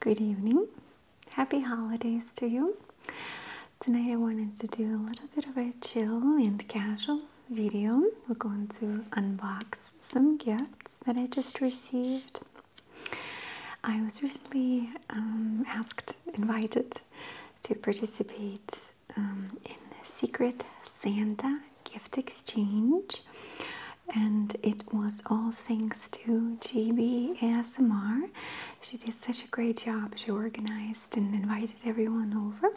Good evening. Happy holidays to you. Tonight I wanted to do a little bit of a chill and casual video. We're going to unbox some gifts that I just received. I was recently um, asked, invited to participate um, in the Secret Santa gift exchange, and it was all thanks to GB ASMR. She did such a great job. She organized and invited everyone over,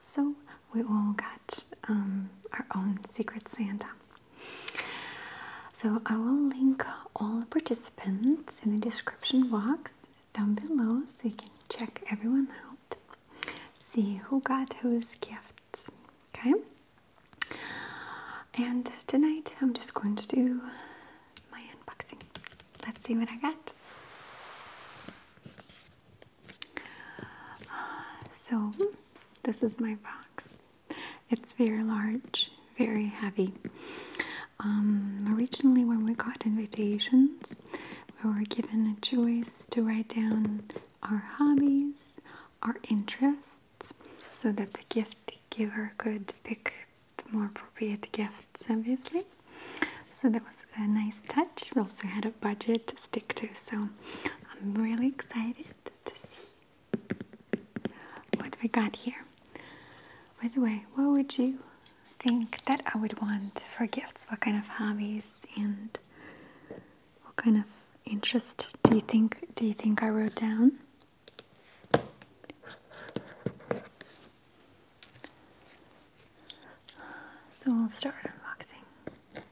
so we all got um, our own Secret Santa. So I will link all participants in the description box down below so you can check everyone out. See who got whose gifts. Okay? And tonight I'm just going to do my unboxing. Let's see what I got. Uh, so, this is my box. It's very large, very heavy. Um, originally, when we got invitations, we were given a choice to write down our hobbies, our interests, so that the gift giver could pick the more appropriate gifts, obviously. So that was a nice touch. We also had a budget to stick to, so I'm really excited to see what we got here. By the way, what would you think that I would want for gifts. What kind of hobbies and what kind of interest do you think do you think I wrote down? So i will start unboxing.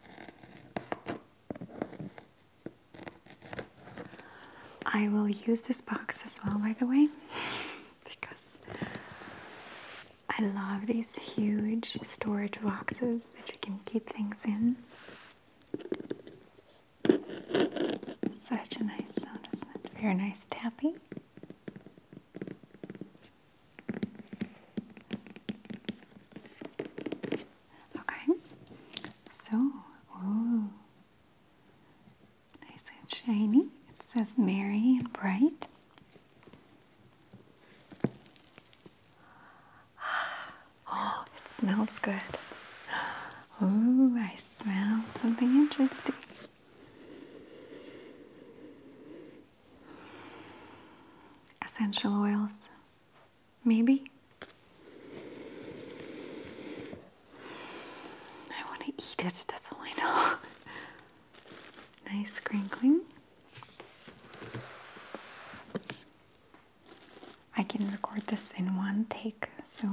I will use this box as well, by the way, because I love these huge storage boxes that you can keep things in. Such a nice sound, is Very nice tapping. Okay, so, ooh, nice and shiny. It says Merry and Bright. Oh, it smells good. Ooh, I smell something interesting. Essential oils, maybe. I want to eat it, that's all I know. Nice crinkling. I can record this in one take, so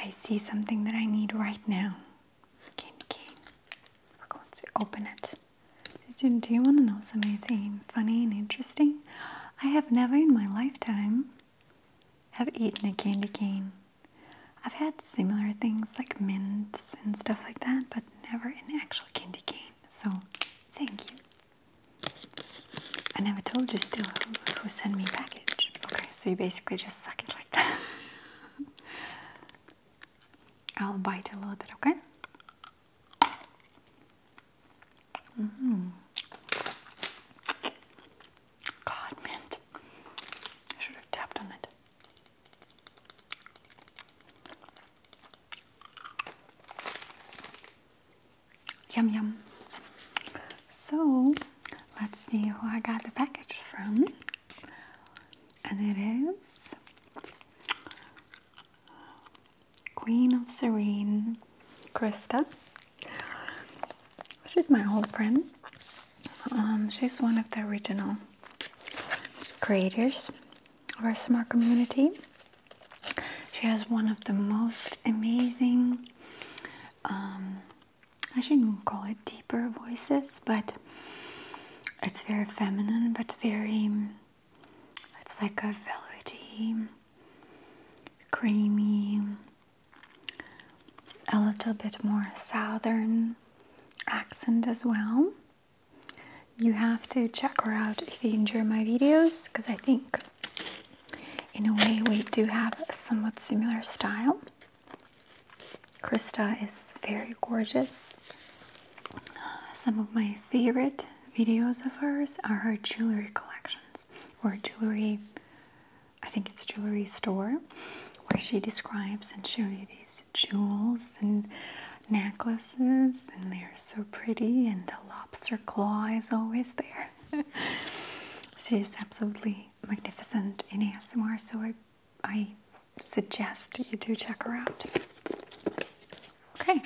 I see something that I need right now. Candy cane. We're open it. Do, do you want to know something funny and interesting? I have never in my lifetime have eaten a candy cane. I've had similar things like mints and stuff like that, but never an actual candy cane. So, thank you. I never told you still who, who sent me package. Okay, so you basically just suck it like that. I'll bite a little bit, okay? Mm-hmm. God, mint. should have tapped on it. Yum yum. So let's see who I got the package from. And it is Queen of Serene, Krista. She's my old friend. Um, she's one of the original creators of our smart community. She has one of the most amazing, um, I shouldn't call it deeper voices, but it's very feminine, but very, it's like a velvety, creamy, a little bit more southern accent as well you have to check her out if you enjoy my videos because I think in a way we do have a somewhat similar style. Krista is very gorgeous. Some of my favorite videos of hers are her jewelry collections or jewelry, I think it's jewelry store, where she describes and shows you these jewels and necklaces, and they're so pretty, and the lobster claw is always there. She's absolutely magnificent in ASMR, so I, I suggest you do check her out. Okay,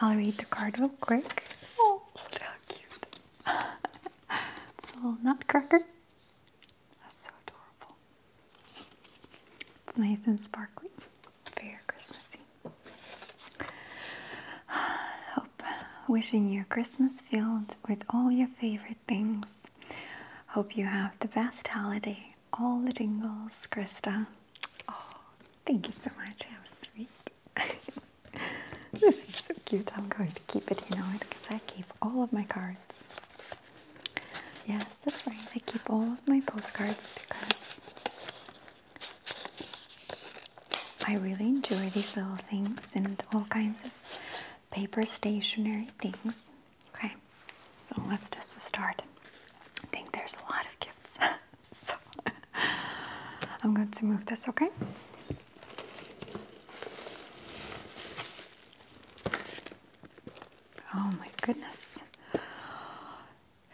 I'll read the card real quick. Oh, look how cute! it's a little nutcracker. That's so adorable. It's nice and sparkly. Very Christmassy. Hope wishing you a Christmas filled with all your favorite things. Hope you have the best holiday. All the dingles, Krista. Oh, thank you so much. How sweet. this is so cute. I'm going to keep it, you know it, because I keep all of my cards. Yes, Yes, that's right. I keep all of my postcards because I really enjoy these little things and all kinds of paper stationery things. Okay, so let's just start. I think there's a lot of gifts, so I'm going to move this, okay? Oh my goodness.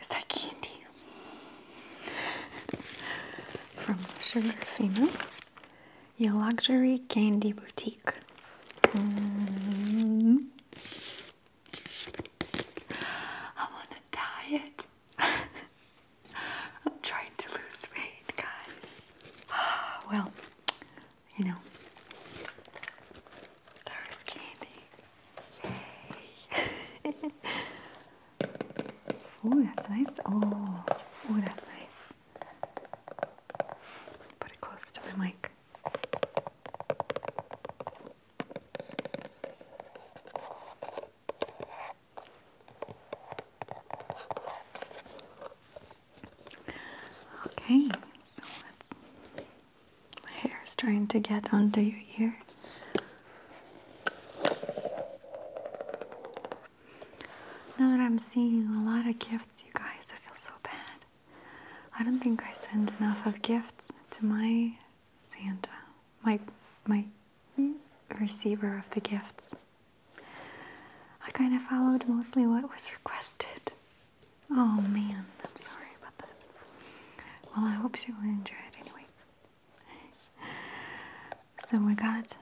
Is that candy? From Sugarfina, your luxury candy boutique. Mm-hmm. I'm on a diet. I'm trying to lose weight, guys. well, you know, there is candy. oh, that's nice. Oh, oh, that's nice. Put it close to my mic. Okay, my hair is trying to get under your ear. Now that I'm seeing a lot of gifts, you guys, I feel so bad. I don't think I send enough of gifts to my Santa, my my receiver of the gifts. I kind of followed mostly what was requested. Oh man, I'm sorry about that. Well, I hope you enjoy it anyway. So we got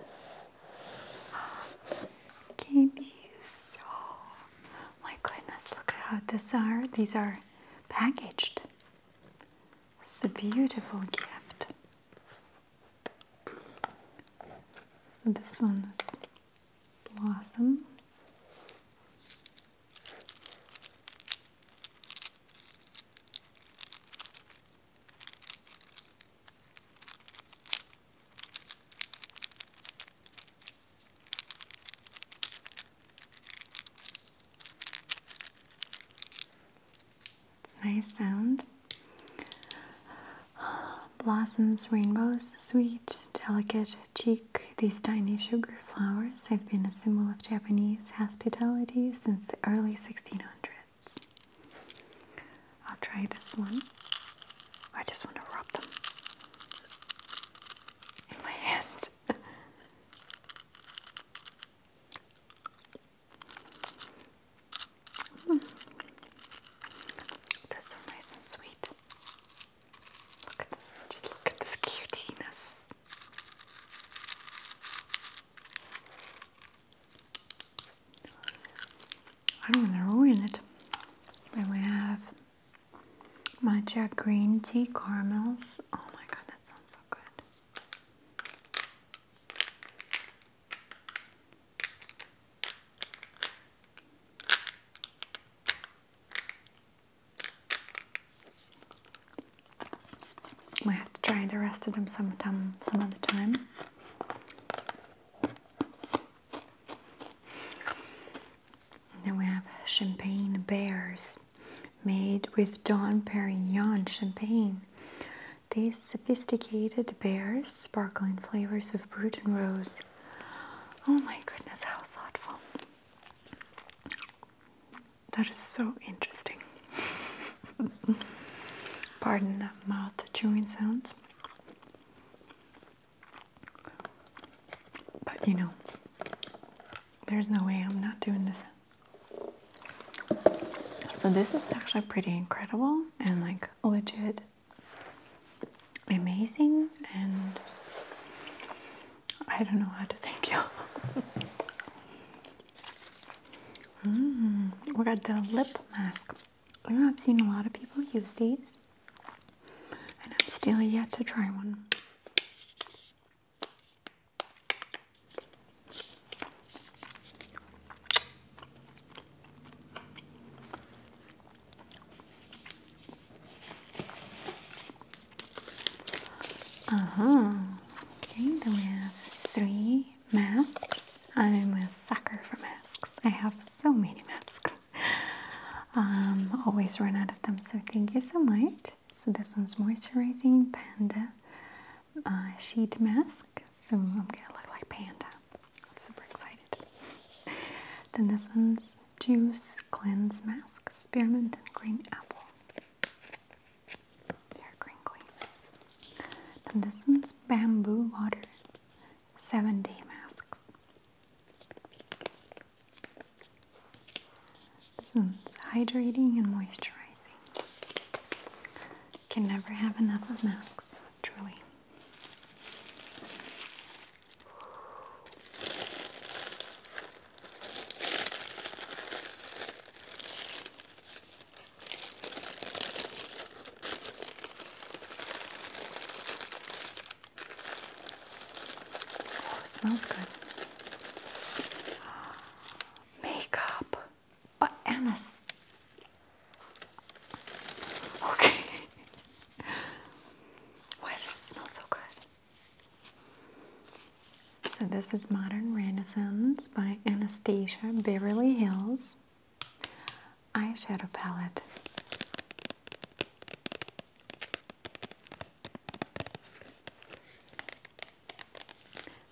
candies. Oh my goodness, look at how these are. These are packaged. It's a beautiful gift. So this one is blossoms. It's a nice sound. Blossoms, rainbows, sweet, delicate, cheek, these tiny sugar flowers have been a symbol of Japanese hospitality since the early 1600s. I'll try this one. I just want to rub them in my hands. mm. That's so nice and sweet. Look at this. Just look at this cuteness. I don't want to ruin it. Then we have matcha green tea caramels. Oh my god, that sounds so good. Might have to try the rest of them sometime, some other time. then we have champagne bears made with Don Perignon champagne. These sophisticated bears sparkling flavors of brut and rose. Oh my goodness, how thoughtful. That is so interesting. Pardon that mouth chewing sound. But you know, there's no way I'm not doing this. So, this is actually pretty incredible and like legit amazing and I don't know how to thank you. Mm, we got the lip mask. You know, I've seen a lot of people use these, and I'm still yet to try one. Uh huh. Okay, then we have three masks. I'm a sucker for masks. I have so many masks. um, always run out of them, so thank you so much. So this one's moisturizing panda uh, sheet mask. So I'm gonna look like panda. super excited. then this one's Juice Cleanse Mask Spearmint and Green Apple. Hair crinkly. Then this one's Bamboo Water 7 Day Masks. This one's hydrating and moisturizing. Can never have enough of masks, truly. Oh, smells good. Makeup. But oh, Okay. Why does it smell so good? So, this is Modern Renaissance by Anastasia Beverly Hills eyeshadow palette.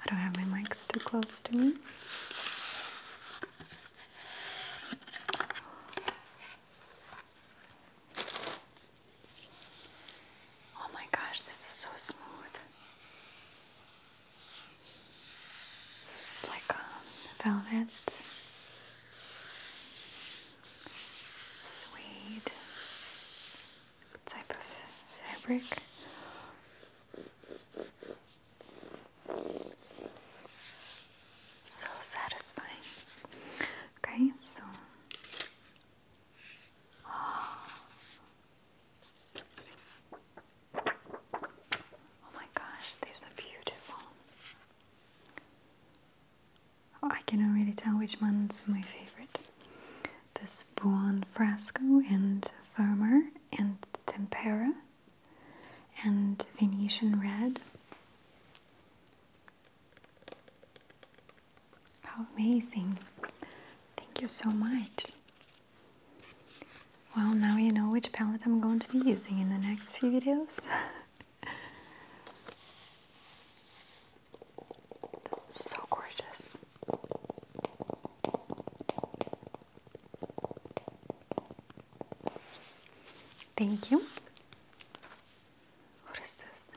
I don't have my mics too close to me. Oh my gosh, this is so smooth. This is like um, velvet, suede type of fabric. So satisfying. Okay, so oh. my gosh, these are beautiful. Oh, I cannot really tell which one's my favorite. This Buon Fresco and Firmer and Tempera and Venetian Red. How amazing! Thank you so much. Well, now you know which palette I'm going to be using in the next few videos. this is so gorgeous. Thank you. What is this?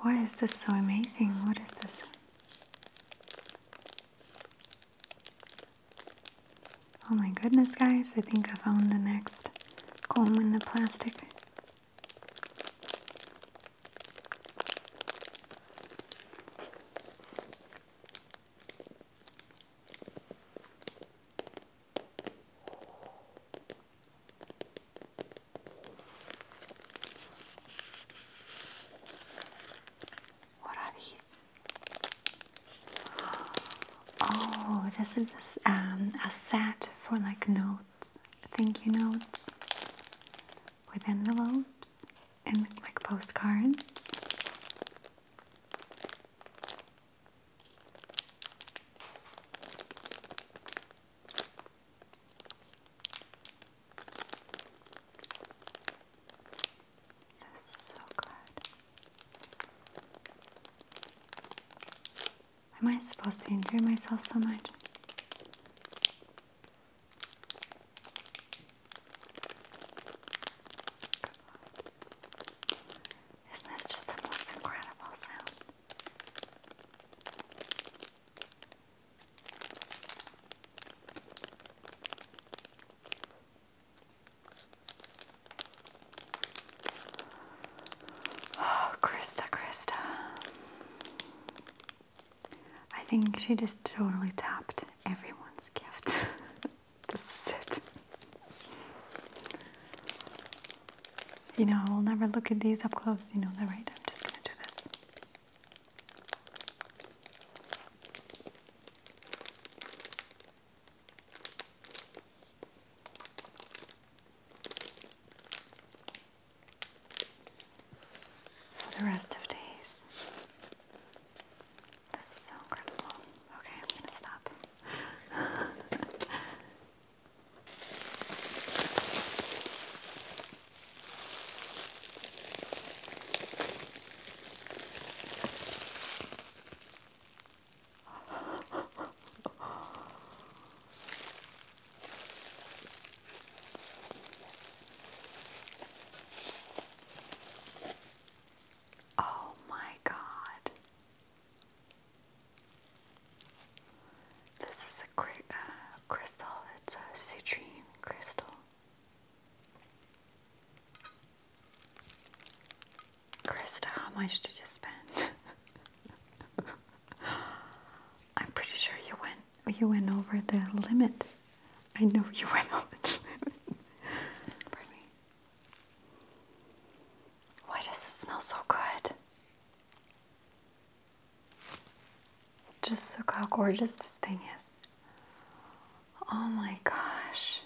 Why is this so amazing? What is this? Oh my goodness, guys, I think I found the next comb in the plastic. What are these? Oh, this is um, a, set for like notes, thank you notes, with envelopes and like postcards. This is so good. Am I supposed to injure myself so much? Isn't this just the most incredible sound? Oh, Krista, Krista. I think she just totally tapped everyone's gift. This is it. You know, I will never look at these up close. You know that, right? I'm just going to do this. For the rest of days. This is so incredible. Okay, I'm gonna stop. Oh my god. This is a uh, crystal. It's a citrine crystal. Krista, how much did you spend? I'm pretty sure you went you went over the limit. I know you went over the limit. Pardon me. Why does it smell so good? Just look how gorgeous this thing is. Oh my gosh.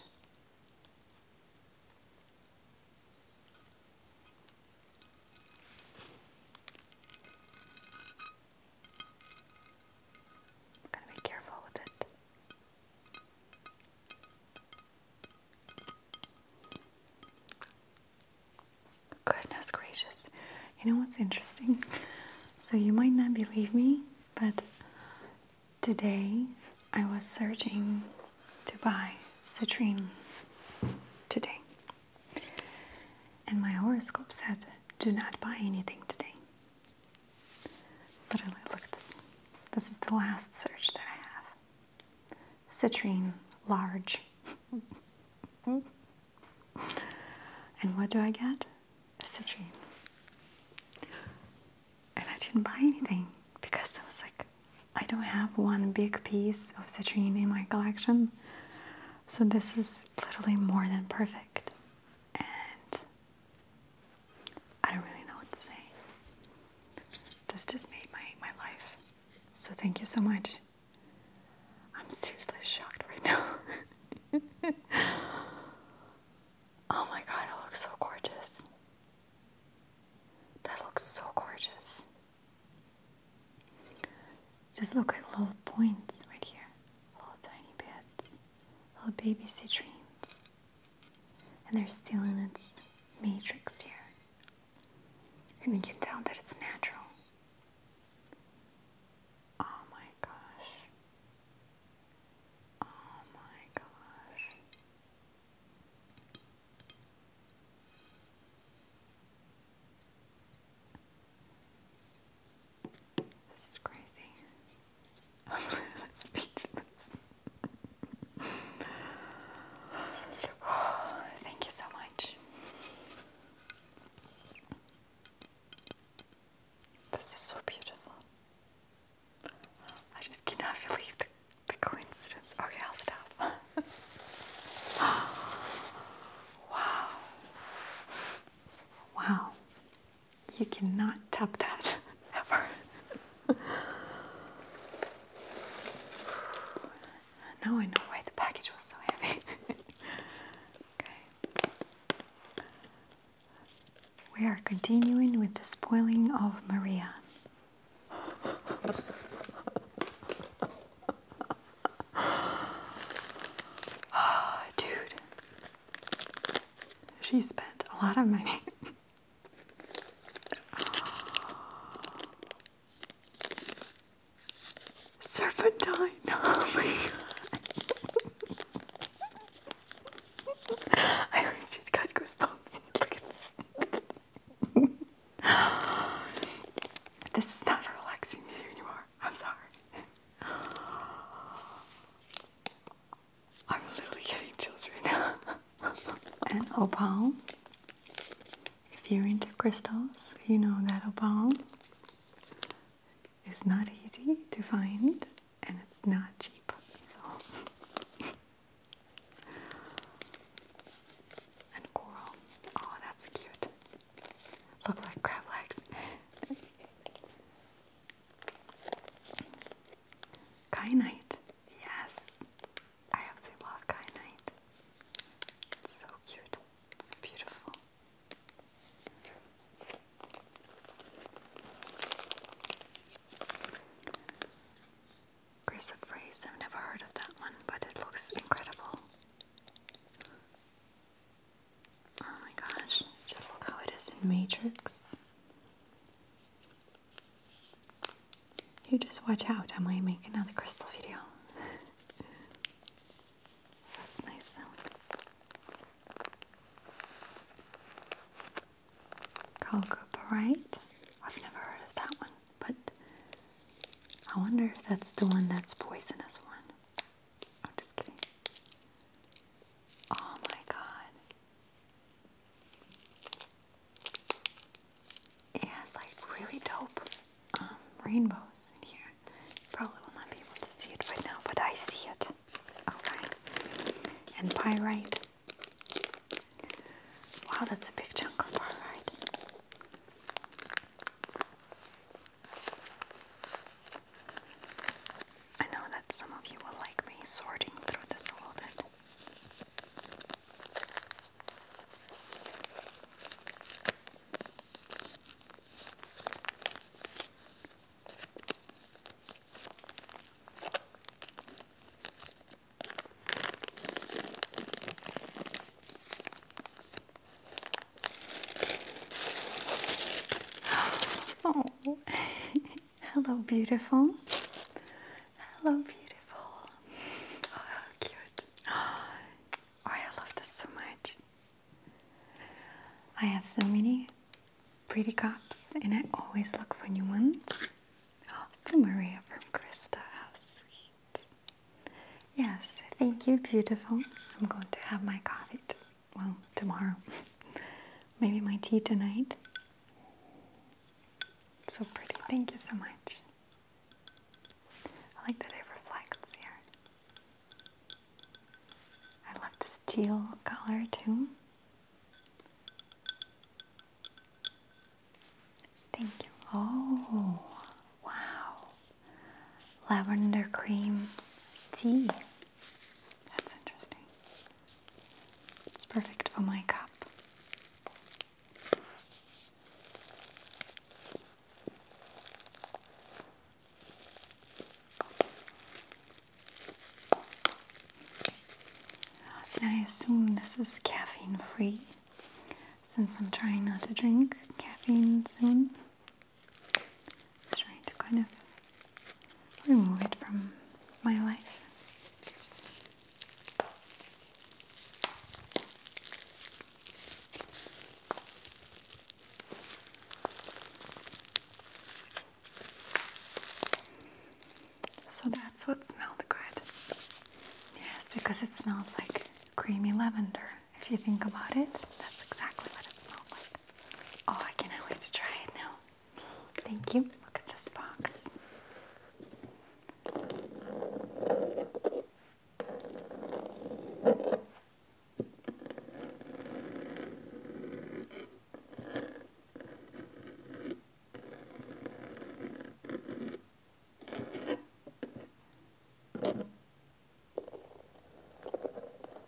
I'm gonna be careful with it. Goodness gracious. You know what's interesting? So, you might not believe me, but today I was searching to buy citrine today. And my horoscope said, do not buy anything today. Literally, look at this. This is the last search that I have. Citrine large. and what do I get? citrine. And I didn't buy anything because I was like, I don't have one big piece of citrine in my collection. So this is literally more than perfect. And I don't really know what to say. This just made my, my life. So thank you so much. I'm seriously shocked right now. oh my god, it looks so gorgeous. That looks so gorgeous. Just look at little points right here, little tiny bits, little baby citrines and they're still in its matrix here. And you can tell that it's natural. Oh my gosh. Oh my gosh. This is crazy. thank you so much. This is so beautiful. I just cannot believe the, the coincidence. Okay, I'll stop. wow. Wow. You cannot top that ever. now I know why the package was so heavy. okay. We are continuing with the spoiling of Maria. Ah, dude. She spent a lot of money. Serpentine. Oh my god. I legit got goosebumps. Look at this. this is not a relaxing video anymore. I'm sorry. I'm literally getting chills right now. and opal. If you're into crystals, you know that opal is not easy to find and it's not cheap. So and coral. Oh, that's cute. Look like crab legs. Kyanite. Yes. I absolutely love kyanite. It's so cute. Beautiful. Chrysoprase. I've never heard of that one, but it looks incredible. Oh my gosh, just look how it is in Matrix. You just watch out, I might make another crystal video. That's nice sound. Colcoparite? I've never heard of that one, but I wonder if that's the one that's poisonous one. I'm just kidding. Oh my god. It has like really dope um, rainbows in here. Probably will not be able to see it right now, but I see it. Okay. And pyrite. Wow, that's a big chunk of pyrite. I know that some of you will like me sorting through this a little bit. oh. Hello, beautiful. Hello, beautiful. Oh, how cute. Oh, I love this so much. I have so many pretty cups, and I always look for new ones. Oh, it's a Maria from Krista. How sweet. Yes, thank you, beautiful. I'm going to have my coffee well, tomorrow. Maybe my tea tonight. so pretty. Thank you so much. I like that it reflects here. I love this teal color too. Thank you. Oh, wow. Lavender cream tea. That's interesting. It's perfect for my cup. And I assume this is caffeine free since I'm trying not to drink caffeine soon. I'm trying to kind of remove it from my life. So that's what smelled good. Yes, because it smells like creamy lavender. If you think about it, that's exactly what it smelled like. Oh, I can't wait to try it now. Thank you. Look at this box.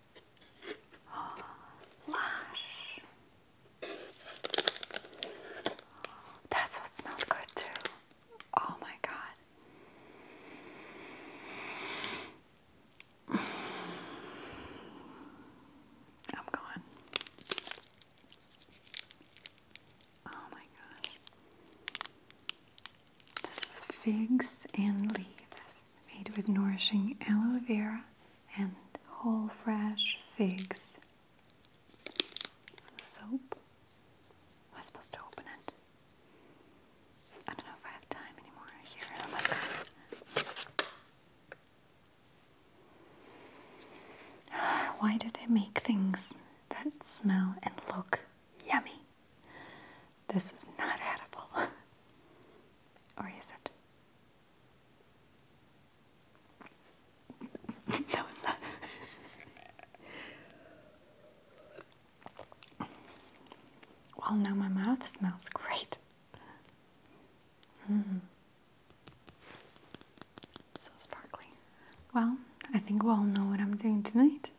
Oh, that's what smelled good too. Oh my god. I'm gone. Oh my gosh. This is figs and leaves made with nourishing aloe vera and whole fresh figs. So soap. Am supposed to open it? I don't know if I have time anymore. Here, Why do they make things that smell and look yummy? This is not edible. or is it? that was not. well, now my mouth smells great. Mm-hmm. So sparkly. Well, I think we all know what I'm doing tonight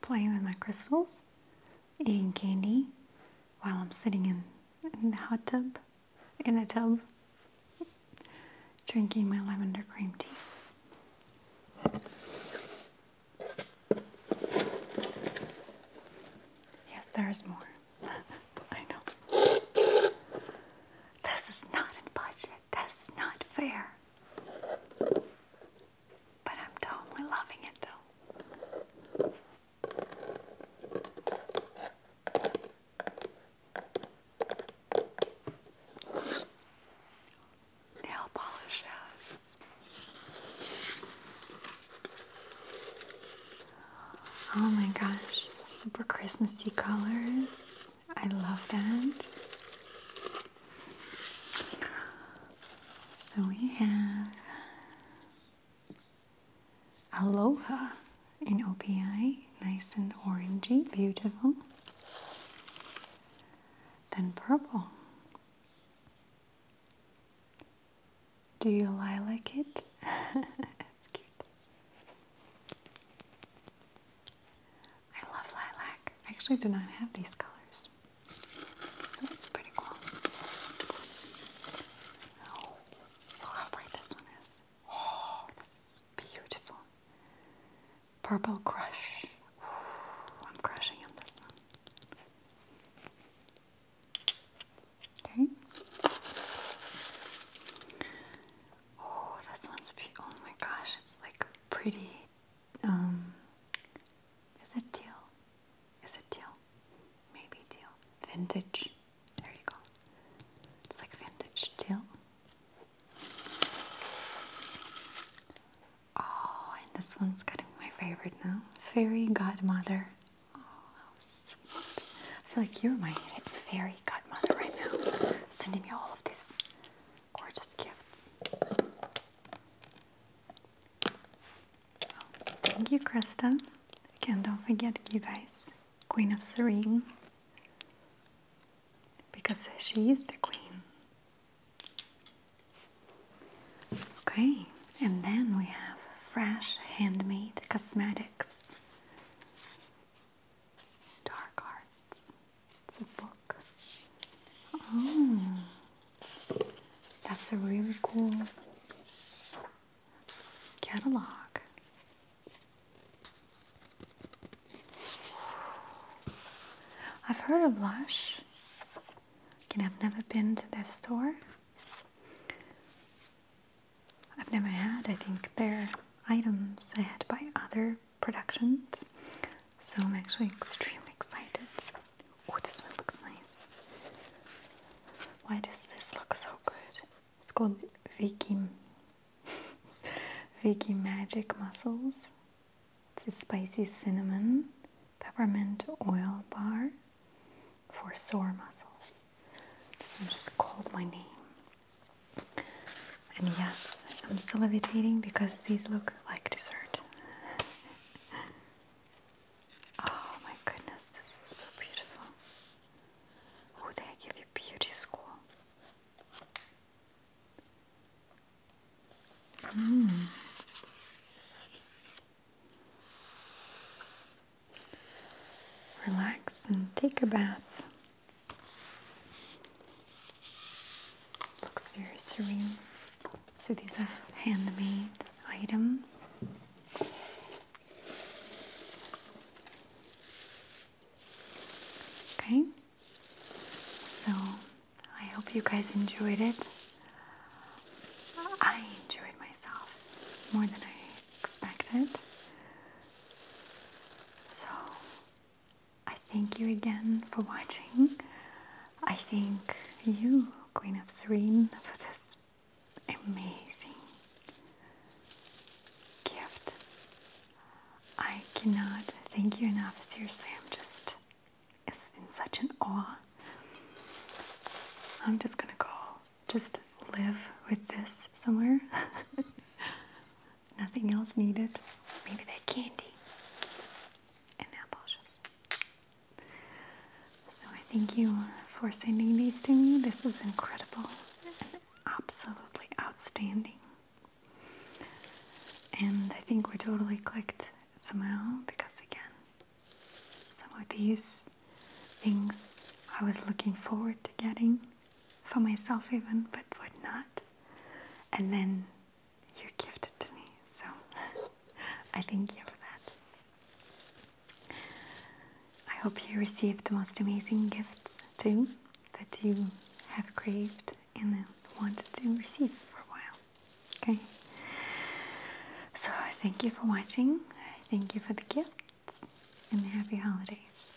playing with my crystals, eating candy while I'm sitting in, in the hot tub, in a tub, drinking my lavender cream tea. Yes, there's more. I know. This is not a budget. That's not fair. But I'm totally loving it though. Nail polish Oh my gosh, super Christmassy colors. I love that. So we have Aloha in OPI, nice and orangey, beautiful. Then purple. Do you lilac it? That's cute. I love lilac. I actually do not have these colors. So it's pretty cool. Oh, how bright this one is. Oh, this is beautiful. Purple Crush. I'm crushing on this one. Okay. Oh, this one's be oh my gosh, it's like pretty. Um, is it teal? Is it teal? Maybe teal. Vintage. There you go. It's like vintage teal. Oh, and this one's got to be my favorite now. Fairy Godmother. Oh, sweet. I feel like you're my fairy godmother right now, sending me all of these gorgeous gifts thank you, Krista. Again, don't forget, you guys, Queen of Serene, because she is the Queen. Okay, and then we have fresh handmade cosmetics. Dark Arts. It's a book. Oh, that's a really cool catalog. I've heard of Lush. Again, I've never been to their store. I've never had, I think, their items I had by other productions. So I'm actually extremely excited. Oh, this one looks nice. Why does this look so good? It's called Vicky, Vicky Magic Muscles. It's a spicy cinnamon peppermint oil bar for sore muscles. This one just called my name. And yes, I'm still salivating because these look like dessert. Oh my goodness, this is so beautiful. Oh, they give you beauty school. Mm. Relax and take a bath. Looks very serene. So these are handmade items. Okay, so I hope you guys enjoyed it. I enjoyed myself more than I expected. So I thank you again for watching. I think you, Queen of Serene, for this amazing gift. I cannot thank you enough. Seriously, I'm just in such an awe. I'm just gonna go just live with this somewhere. Nothing else needed. Maybe that candy and so I thank you for sending these to me. This is incredible and absolutely outstanding. And I think we totally clicked somehow because, again, some of these things I was looking forward to getting for myself, even, but would not. And then you gifted to me, so I thank you for that. I hope you received the most amazing gifts too that you have craved and wanted to receive for a while. Okay? So thank you for watching. Thank you for the gifts and happy holidays.